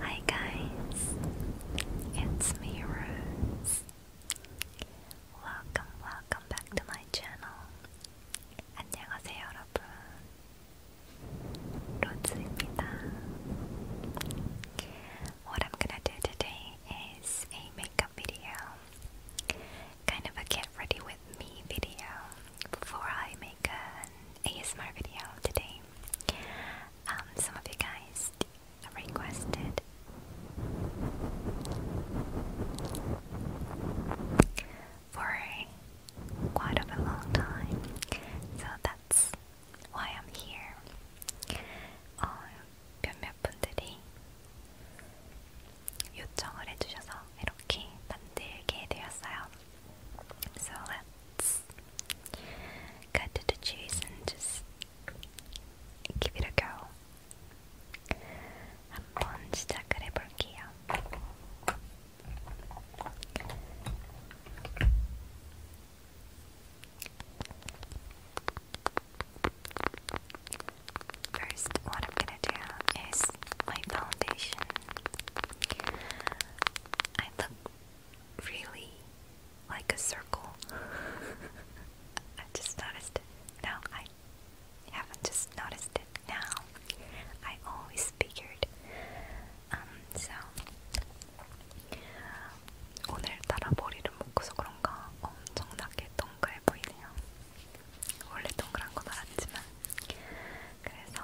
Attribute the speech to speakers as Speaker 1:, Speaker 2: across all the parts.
Speaker 1: Hi guys, it's me Rose. Welcome, welcome back to my channel. 안녕하세요 여러분, 로즈입니다. What I'm gonna do today is a makeup video, kind of a get ready with me video before I make an ASMR video today. Um, some of you guys requested for quite of a long time, so that's why I'm here. 몇몇 분들이 요청을 해주셔서 이렇게 만들게 되었어요. So let's cut to the chase and just give it a go. what I'm gonna do is my foundation. I look really like a circle. I just noticed No, I haven't just noticed it now. I always figured. Um, so 오늘따라 머리를 묶어서 그런가 엄청나게 동그래 보이네요. 원래 동그란 건 아니지만 그래서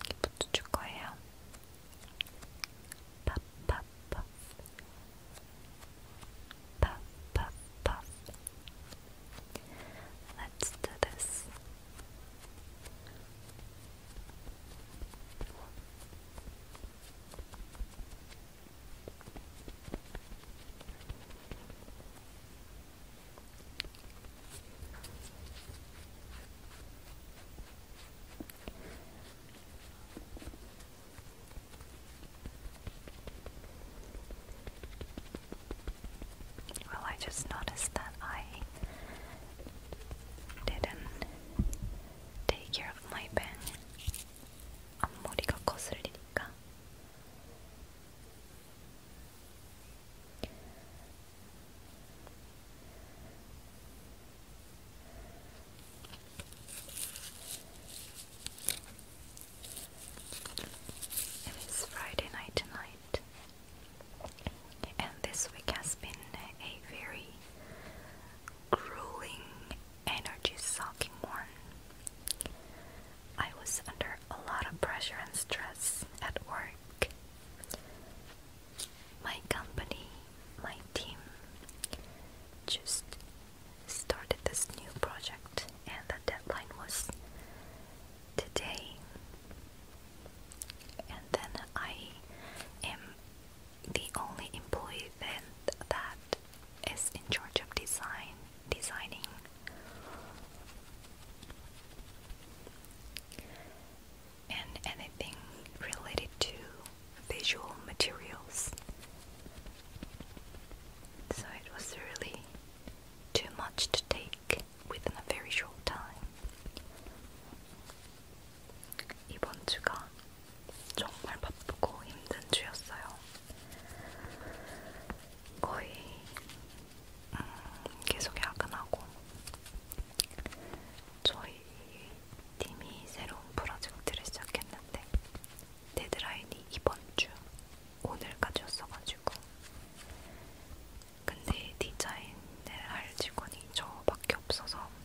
Speaker 1: 이렇게 붙여줄 거예요. 팝팝팝 팝팝팝 Let's do this. Well, I just noticed that I didn't take care of my pen. 앞머리가 It is Friday night tonight, and this week has been a very grueling energy sucking one. I was under a lot of pressure and stress at work. My company, my team, just started this new project, and the deadline was today. And then I am the only employee then that is in charge of design designing and anything related to visual materials. So it was really too much to take within a very short time. 이번 주가 정말 바쁘고 힘든 주였어요. 거의 음, 계속 야근하고 저희 팀이 새로운 프로젝트를 시작했는데 데드라인이 이번 주 오늘까지였어가지고 근데 디자인을 할 직원이 저밖에 없어서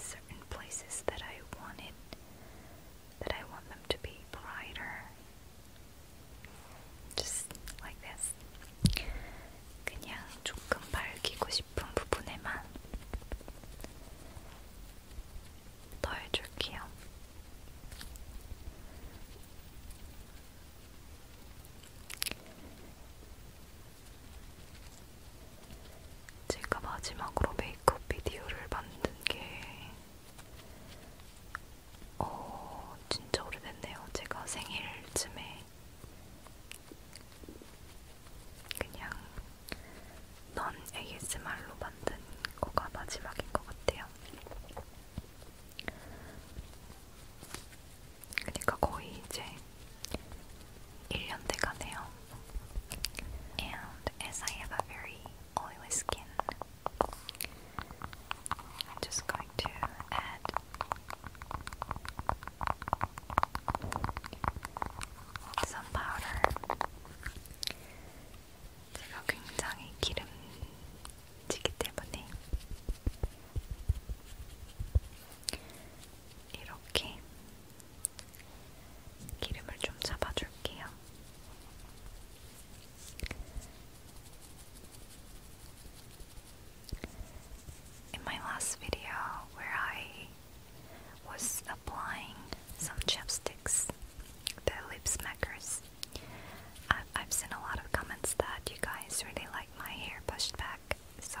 Speaker 1: certain places that I wanted that I want them to be brighter. Just like this. 그냥 조금 밝히고 싶은 부분에만 더해줄게요. 제가 마지막으로 메이크업 비디오를 만든 게, 어, 진짜 오래됐네요. 제가 생일쯤에 그냥 넌 ASMR로 만든 거가 마지막인 것 같아요. 그러니까 거의 이제 And as I have a very oily skin, I'm just going to add some powder. 제가 굉장히 기름지기 때문에 이렇게 in my last video, where I was applying some chapsticks, the lip smackers, I've seen a lot of comments that you guys really like my hair pushed back, so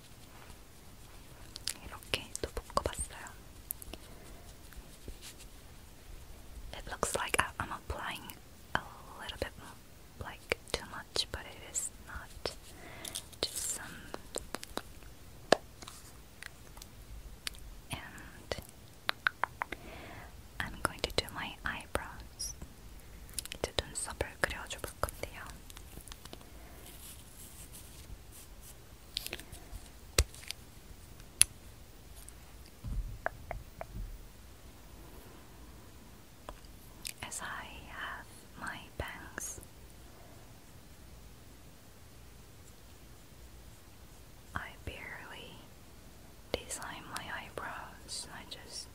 Speaker 1: It looks like I'm applying a little bit more, like too much, but it is not. Just some. And I'm going to do my eyebrows. 이제 눈썹을 그려줘 볼 건데요. As I have my bangs, I barely design my eyebrows. I just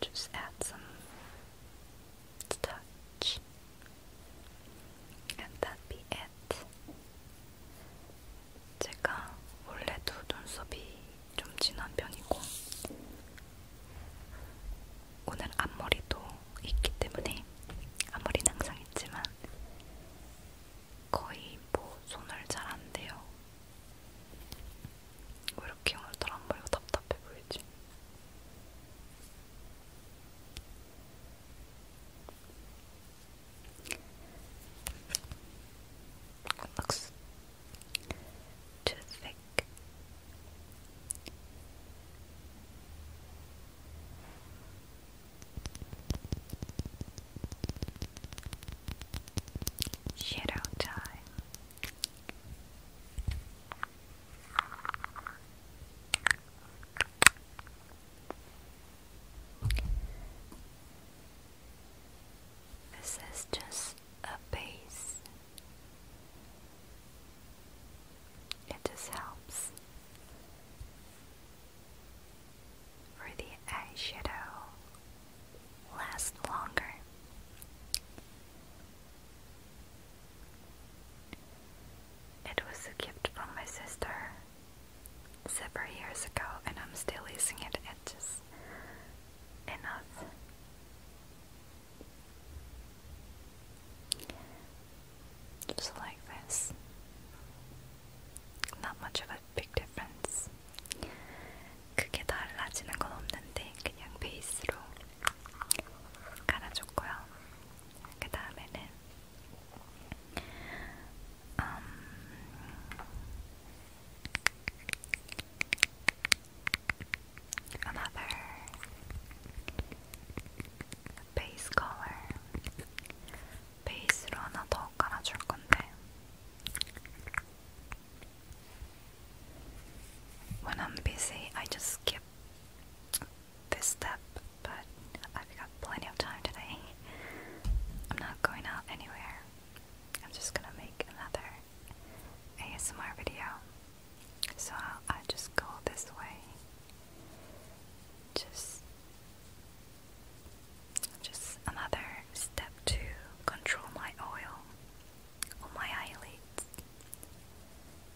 Speaker 1: just add some touch, and that be it. 제가 원래도 눈썹이 좀 진한 편이고 오늘 앞머리도 있기 때문에 앞머리는 항상 있지만 거의 뭐 손을 잘안 대요. 왜 이렇게 오늘따라 앞머리가 답답해 보이지? Looks too thick. Shadow time. This is just a base. It just helps for the eyeshadow last longer. It was a gift from my sister several years ago, and I'm still using it. It's enough. Just like this. Not much of a big difference. 크게 달라지는 건 없는데 그냥 베이스로 갈아줬고요. 그 다음에는 음, another 베이스 컬러 베이스로 하나 더 깔아줄 건데. When I'm busy, I just skip this step, but I've got plenty of time today. I'm not going out anywhere. I'm just gonna make another ASMR video. So I'll, I'll just go this way. Just, just another step to control my oil on my eyelids.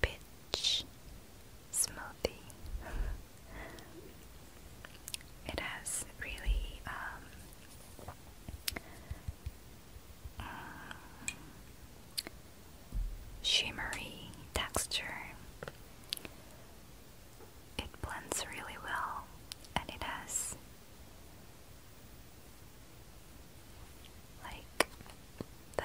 Speaker 1: Pitch Smoothie. it has really um, mm, shimmery texture. It blends really well and it has like the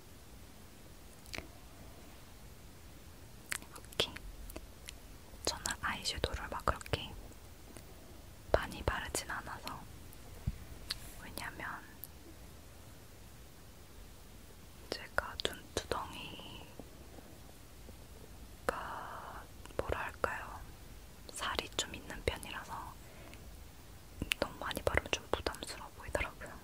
Speaker 1: 오케이. 저는 아이섀도우를 막 그렇게 많이 바르진 않아서 왜냐면 제가 눈두덩이가 뭐랄까요 살이 좀 있는 편이라서 너무 많이 바르면 좀 부담스러워 보이더라고요.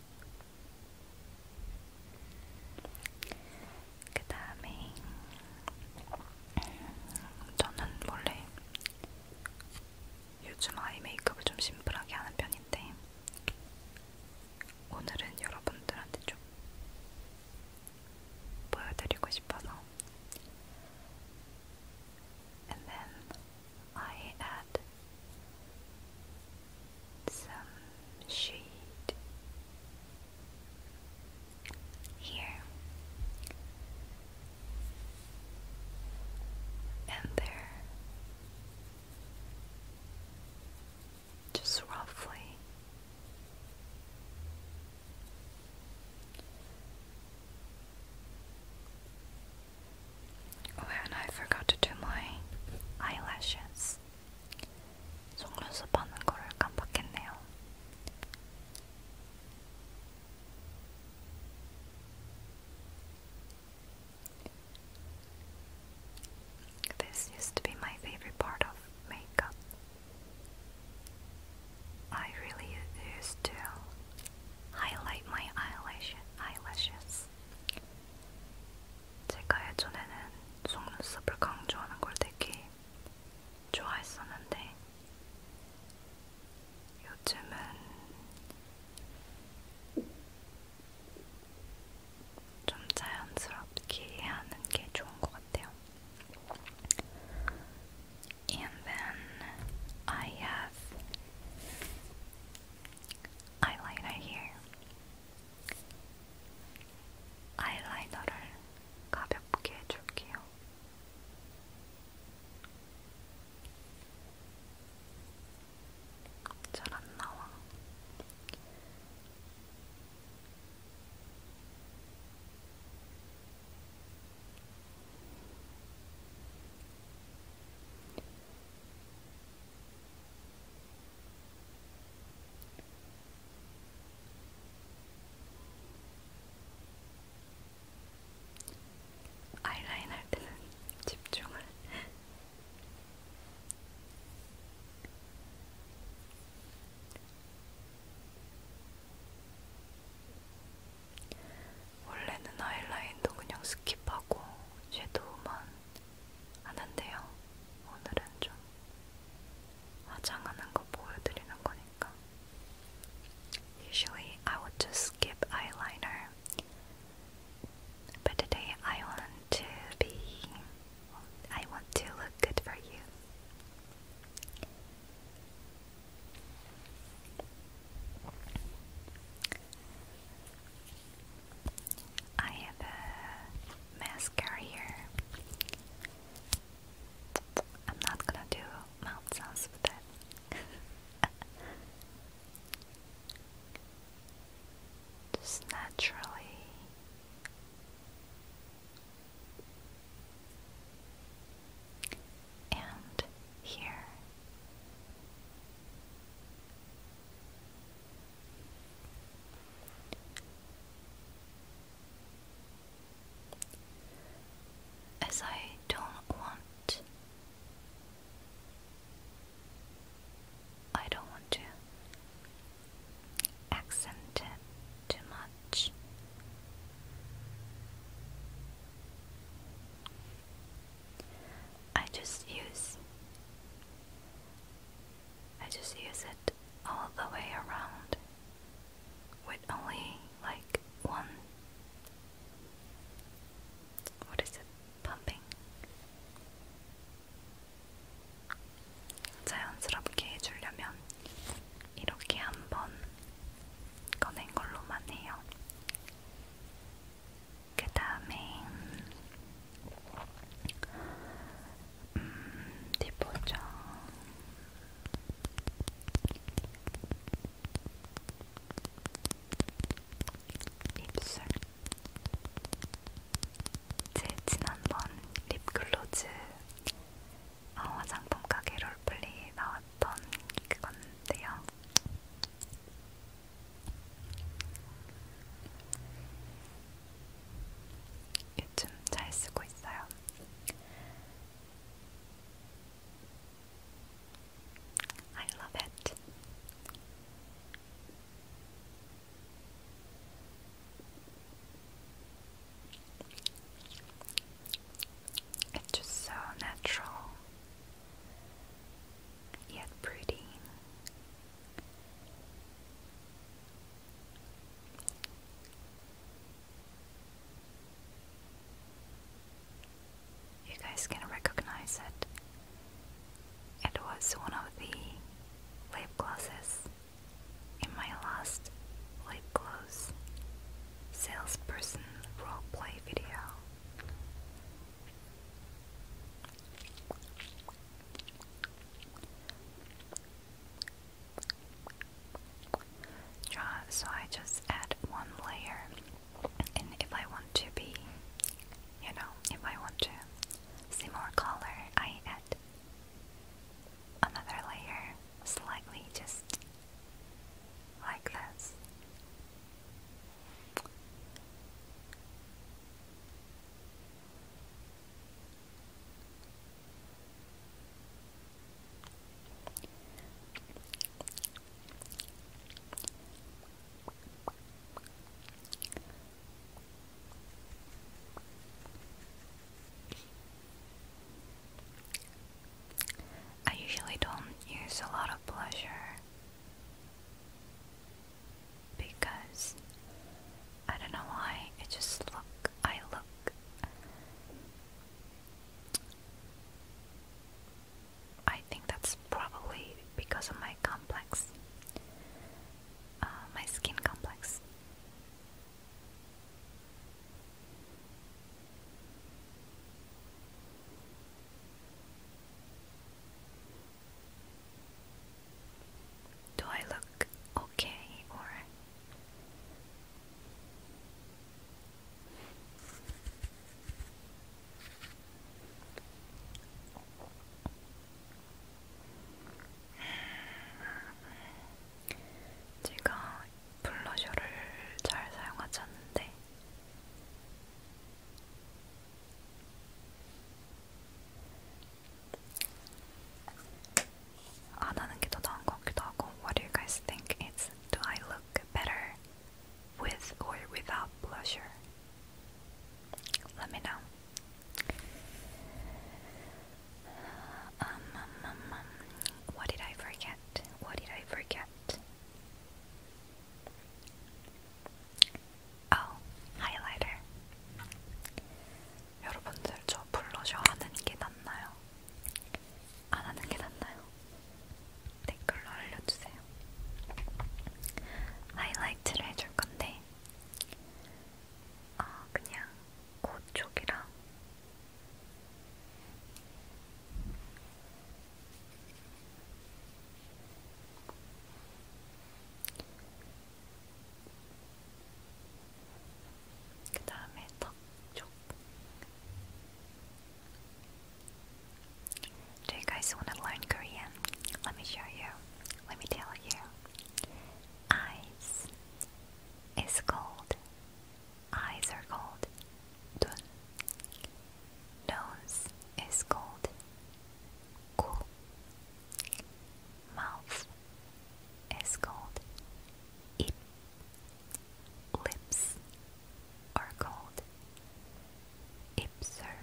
Speaker 1: 그 다음에 저는 원래 요즘 아이 메이크업을 좀 심플하게 하는 편인데 오늘은 여러분들한테 좀 보여드리고 싶어서 And then I add some shade here and there, just roughly. Oh, and I forgot to do my eyelashes. 속눈썹 하는 거를 깜빡했네요. This used to be my favorite part of makeup. I really used to highlight my eyelash eyelashes. 제가 예전에는 속눈썹을 강조하는 걸 되게 좋아했었는데 요즘은 좀 자연스럽게 하는 게 좋은 것 같아요. And then I have 아이라이너 here. 아이라이너를 가볍게 해줄게요. 잘 안 나와. 아이라인 할 때는 집중을 원래는 아이라인도 그냥 스킵하고 섀도우만 안 한대요. 오늘은 좀 화장하는 거 보여드리는 거니까. Usually I would just skip eyeliner, but today I want to be, I want to look good for you. I have a mascara here. I'm not gonna do mouth sounds with that. Just naturally. And here as I don't want I don't want to accent it too much. I just use I just use it all the way around with only like one what is it pumping 자연스럽게 해주려면 이렇게 한번 꺼낸 걸로만 해요. 그 다음에 음, 어디 보자. 입술. 제 지난번 립글로즈 어, 화장품 가게 롤플리 나왔던 그건데요. I love it. It's just so natural, yet pretty, you guys can recognize it. It was one of the lip glosses in my last lip gloss salesperson role play video. So I just add one layer, and if I want to be, you know, if I want to see more color, I add another layer slightly, just like this. I usually don't use a lot of blusher because I don't know why it just look I look I think that's probably because of my complex uh, my skin complex Do I look okay or 제가 블러셔를 잘 사용하지 않는데 What do you guys think? It's Do I look better with or without blusher? Let me know. Um, um, um, what did I forget? What did I forget? 아, 하이라이터. 여러분들 저 블러셔 하는 게 낫나요? 안 하는 게 낫나요? 댓글로 알려주세요. 하이라이트를 해줄 건데, 아, 그냥 코 쪽이랑 Do you guys want to learn Korean? Let me show you. Let me tell you. Eyes is gold. Eyes are gold. Nose is gold. 코. Mouth is called ip. Lips are called ipser.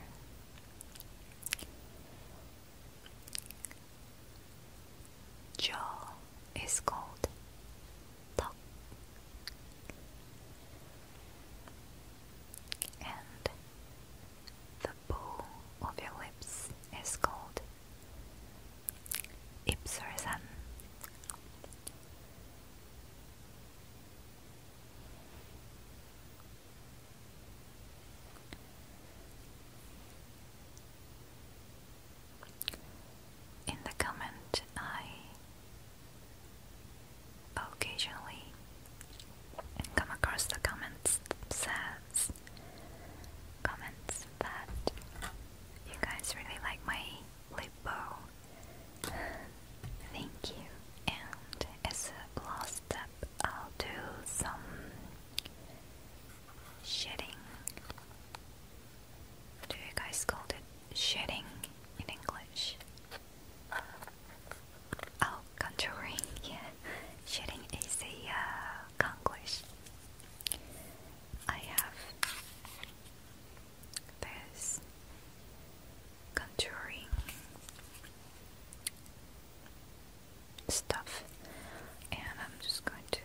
Speaker 1: Jaw is called tok. And the bow of your lips is called ipsorisen. In the comment, I occasionally come across the comments says comments that you guys really like my lip bow. Thank you. And as a last step, I'll do some shedding. Do you guys call it shedding in English? Oh, contouring, yeah. Shading is a uh, conquest. I have this contouring stuff, and I'm just going to.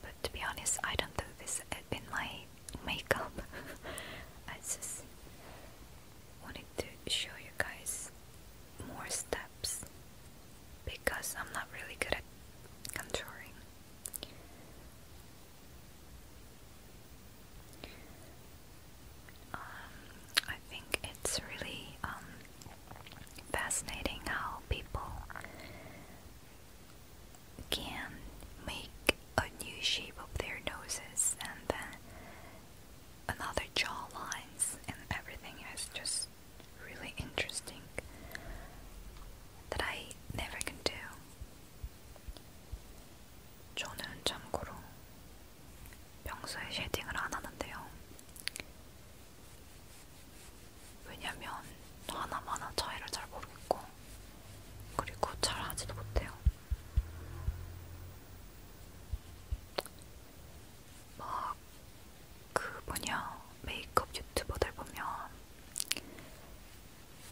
Speaker 1: But to be honest, I don't do this in my makeup. I just wanted to show you guys more steps because I'm not really good at contouring. Um, I think it's really um, fascinating how people can make a new shape of their noses and then another jaw lines and everything is just really interesting that I never can do. 저는 참고로 평소에 그리고 잘 하지도 못해요. 막, 그 뭐냐, 메이크업 유튜버들 보면,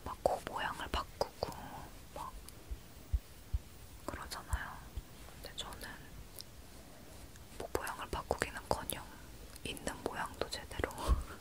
Speaker 1: 막 코 모양을 바꾸고, 막, 그러잖아요. 근데 저는, 뭐 모양을 바꾸기는커녕, 있는 모양도 제대로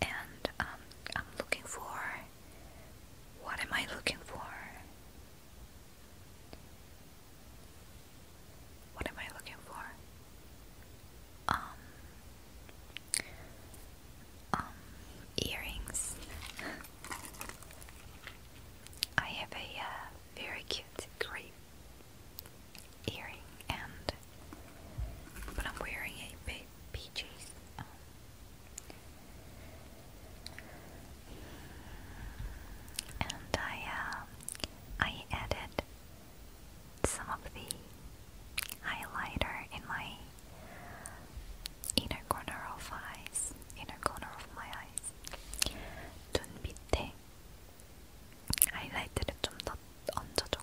Speaker 1: and um, I'm looking for what am I looking for? What am I looking for? Um, um, earrings. I have a uh, very cute grey earring, and but I'm wearing a big wearing and I, uh, I added some of the highlighter in my inner corner of eyes, inner corner of my eyes. 눈 밑에 하이라이트를 좀더 얹어줘.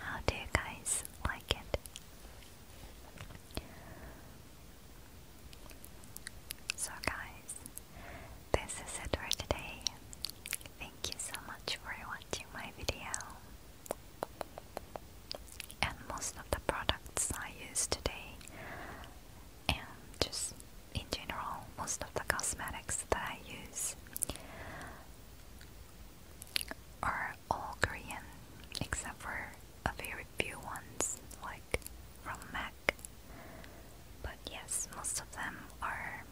Speaker 1: How do you guys like it? So guys, this is it for today. Thank you so much for watching my video and most of the products I use today and just in general most of the cosmetics that I use are all Korean except for a very few ones like from MAC but yes most of them are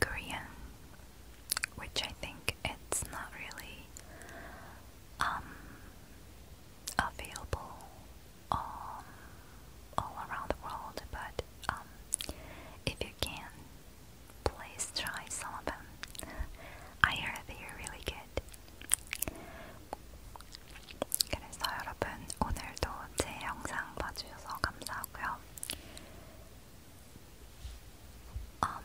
Speaker 1: Korean which I think it's not really um, available all, all around the world, but um, if you can, please try some of them. I heard they're really good. 그래서 여러분 오늘도 제 영상 봐주셔서 감사하고요. Um,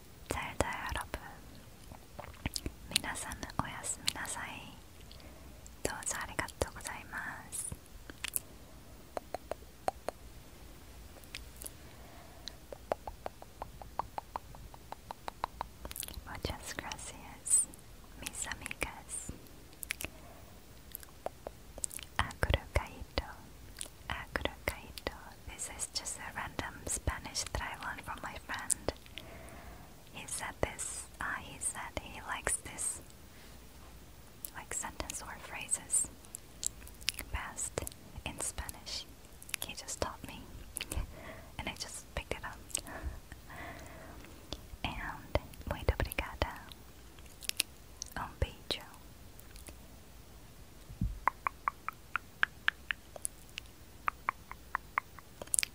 Speaker 1: 잘자여러 분. 皆さんおやすみなさい。どうぞありがとうございます。Muchas gracias, mis amigas. Agro Kaito, Agro Kaito. This is was just a random Spanish that I learned from my friend. He said this, uh, he said he likes this, like sentence or phrases, best in Spanish. He just taught me, and I just picked it up. and, muito obrigada, um beijo.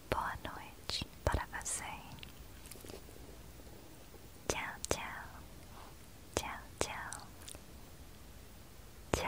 Speaker 1: Boa noite para você. Tchau, tchau. Tchau, tchau.